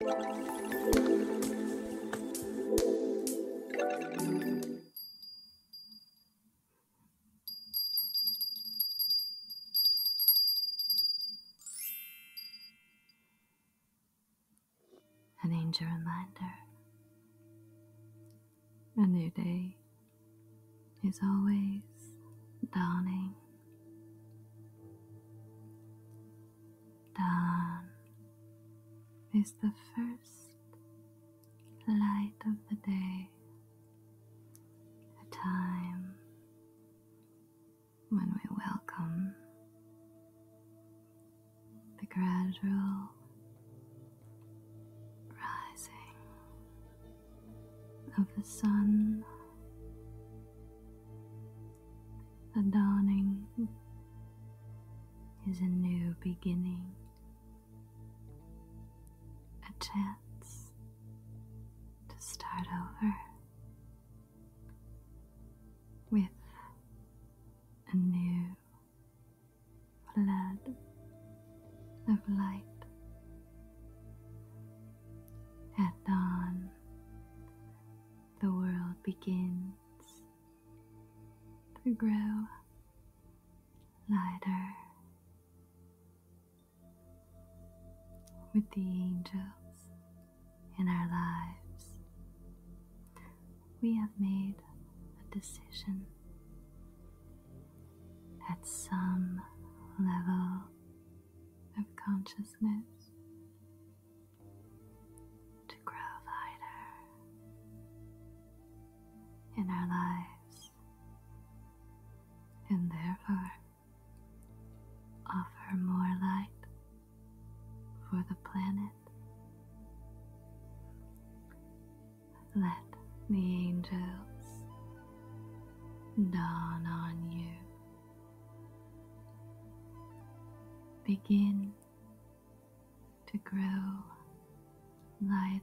An angel reminder. A new day is always dawning. Dawn is the first light of the day, a time when we welcome the gradual rising of the sun the dawning is a new beginning, a chance to start over with a new flood of light. At dawn, the world begins to grow lighter with the angels in our lives. We have made a decision at some level of consciousness to grow lighter in our lives and therefore offer more light for the planet. Let the angels dawn on you begin to grow lighter,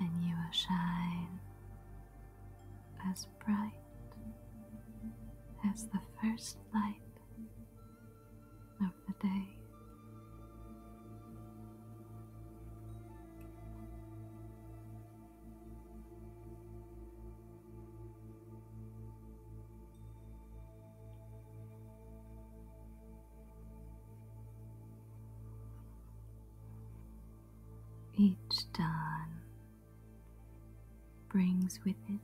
and you will shine as bright as the first light of the day. Each dawn brings with it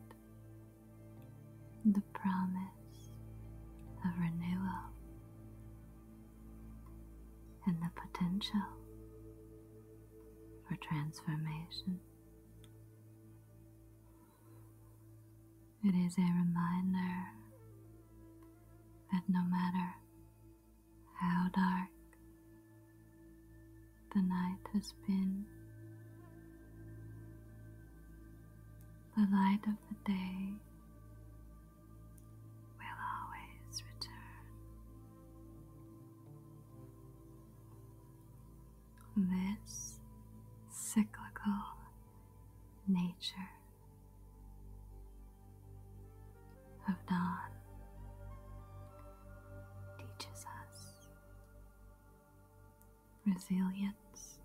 the promise of renewal and the potential for transformation. It is a reminder that no matter how dark the night has been, the light of the day will always return. This cyclical nature of dawn teaches us resilience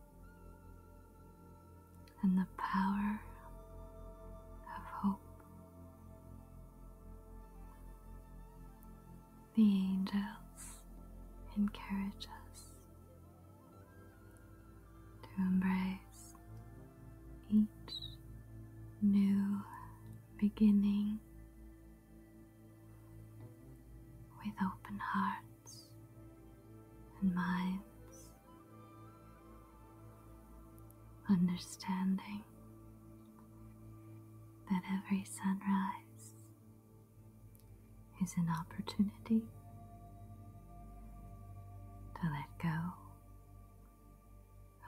and the power of hope the angels encourage us to embrace each new beginning with open hearts and minds, understanding that every sunrise is an opportunity to let go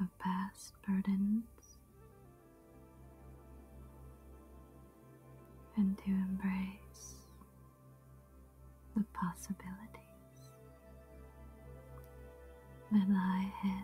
of past burdens and to embrace the possibilities that lie ahead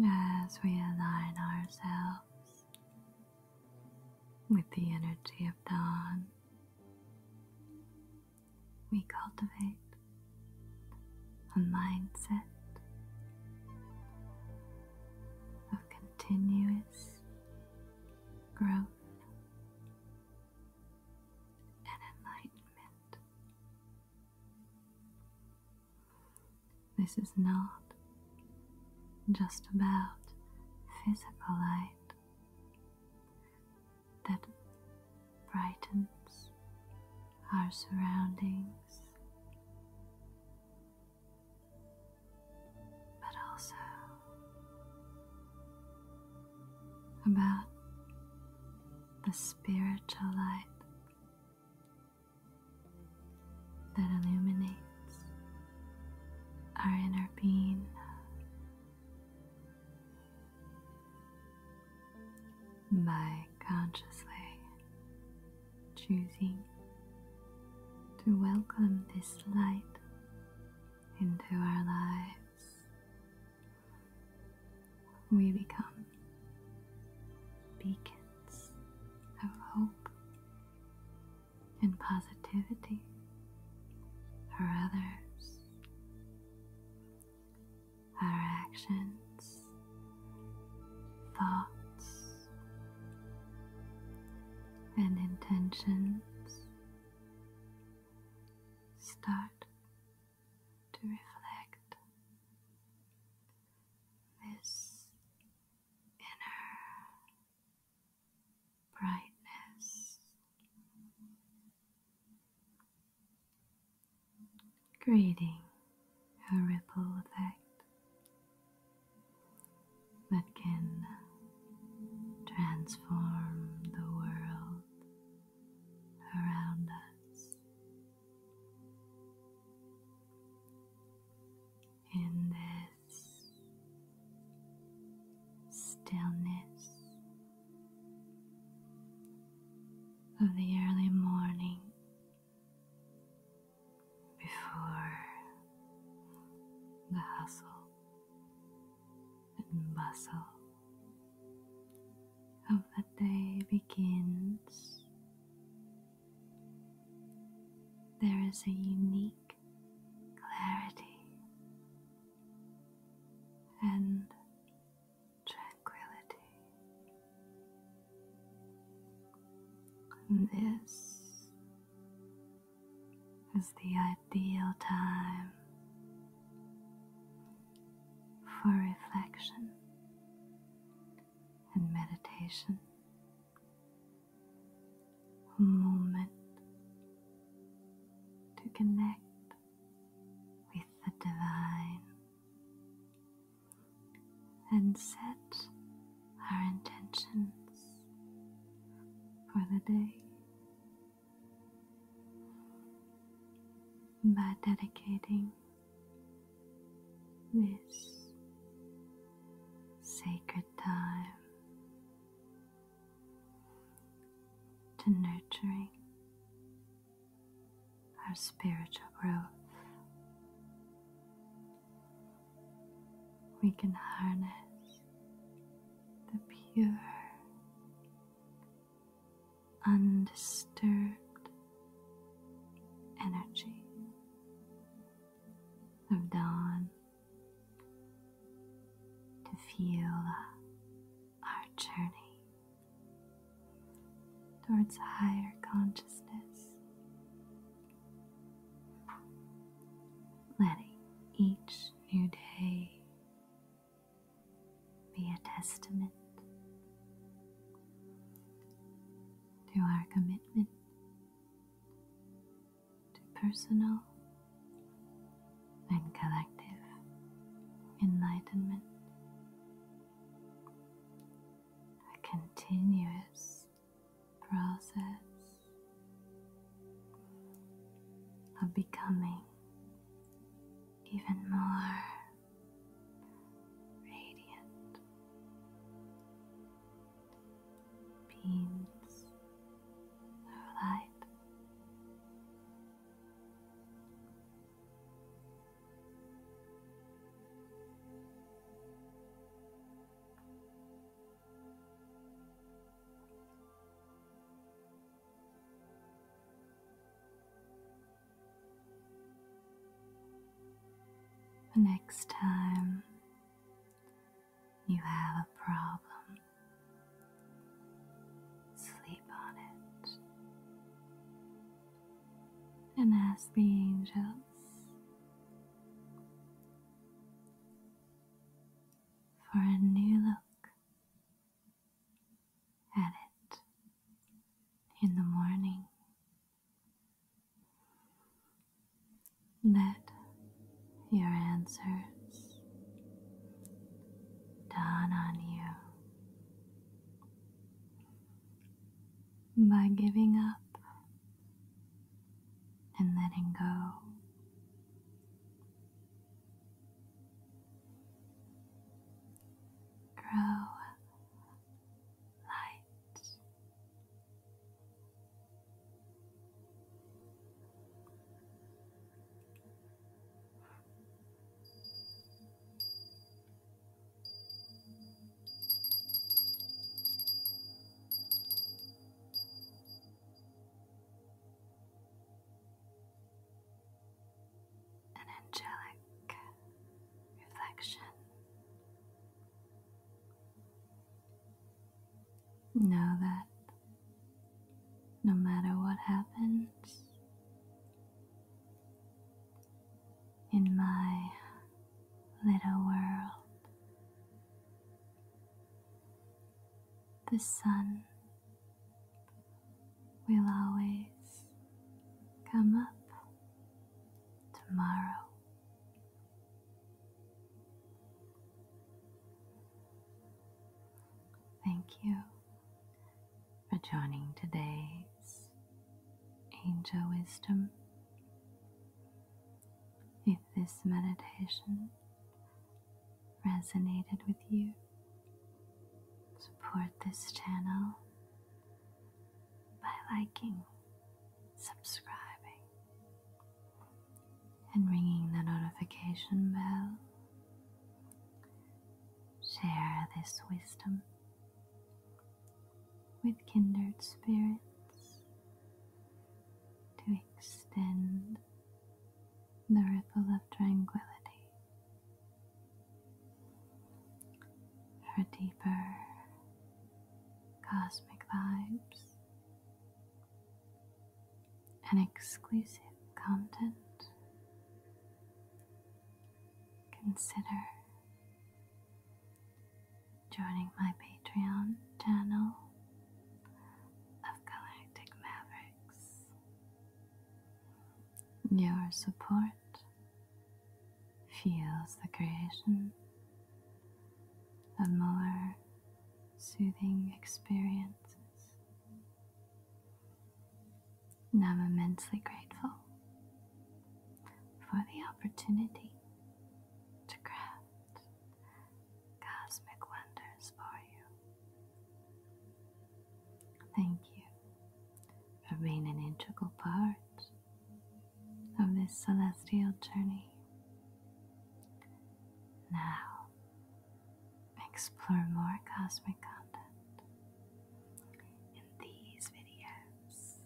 As we align ourselves with the energy of dawn, we cultivate a mindset of continuous growth. And enlightenment. This is not just about physical light that brightens our surroundings, but also about the spiritual light that illuminates our inner being. By consciously choosing to welcome this light into our lives, we become beacons of hope and positivity for others. Our actions, thoughts, and intentions start to reflect this inner brightness. Creating a ripple effect that can transform the world around us in this stillness of the early morning before the hustle and bustle of the day begins there is a unique clarity and tranquility. this is the ideal time for reflection and meditation. A moment to connect with the divine and set our intentions for the day by dedicating this sacred time to nurturing our spiritual growth. We can harness the pure, undisturbed energy of dawn to feel our journey towards higher consciousness, letting each new day be a testament to our commitment to personal and collective enlightenment, a continuous process of becoming even more radiant beams of light. The next time you have a problem, sleep on it and ask the angels for a new look at it in the morning. Let your answers dawn on you by giving up and letting go. Grow an angelic reflection Know that no matter what happens, in my little world, the sun will always come up tomorrow. Thank you for joining today's Angel Wisdom. If this meditation resonated with you, support this channel by liking, subscribing, and ringing the notification bell. Share this wisdom with kindred spirits to extend the ripple of tranquility for deeper cosmic vibes and exclusive content. Consider joining my Patreon channel of Galactic Mavericks. Your support feels the creation of more soothing experiences. And I'm immensely grateful for the opportunity to craft cosmic wonders for you. Thank you for being an integral part of this celestial journey. Now, explore more cosmic content in these videos.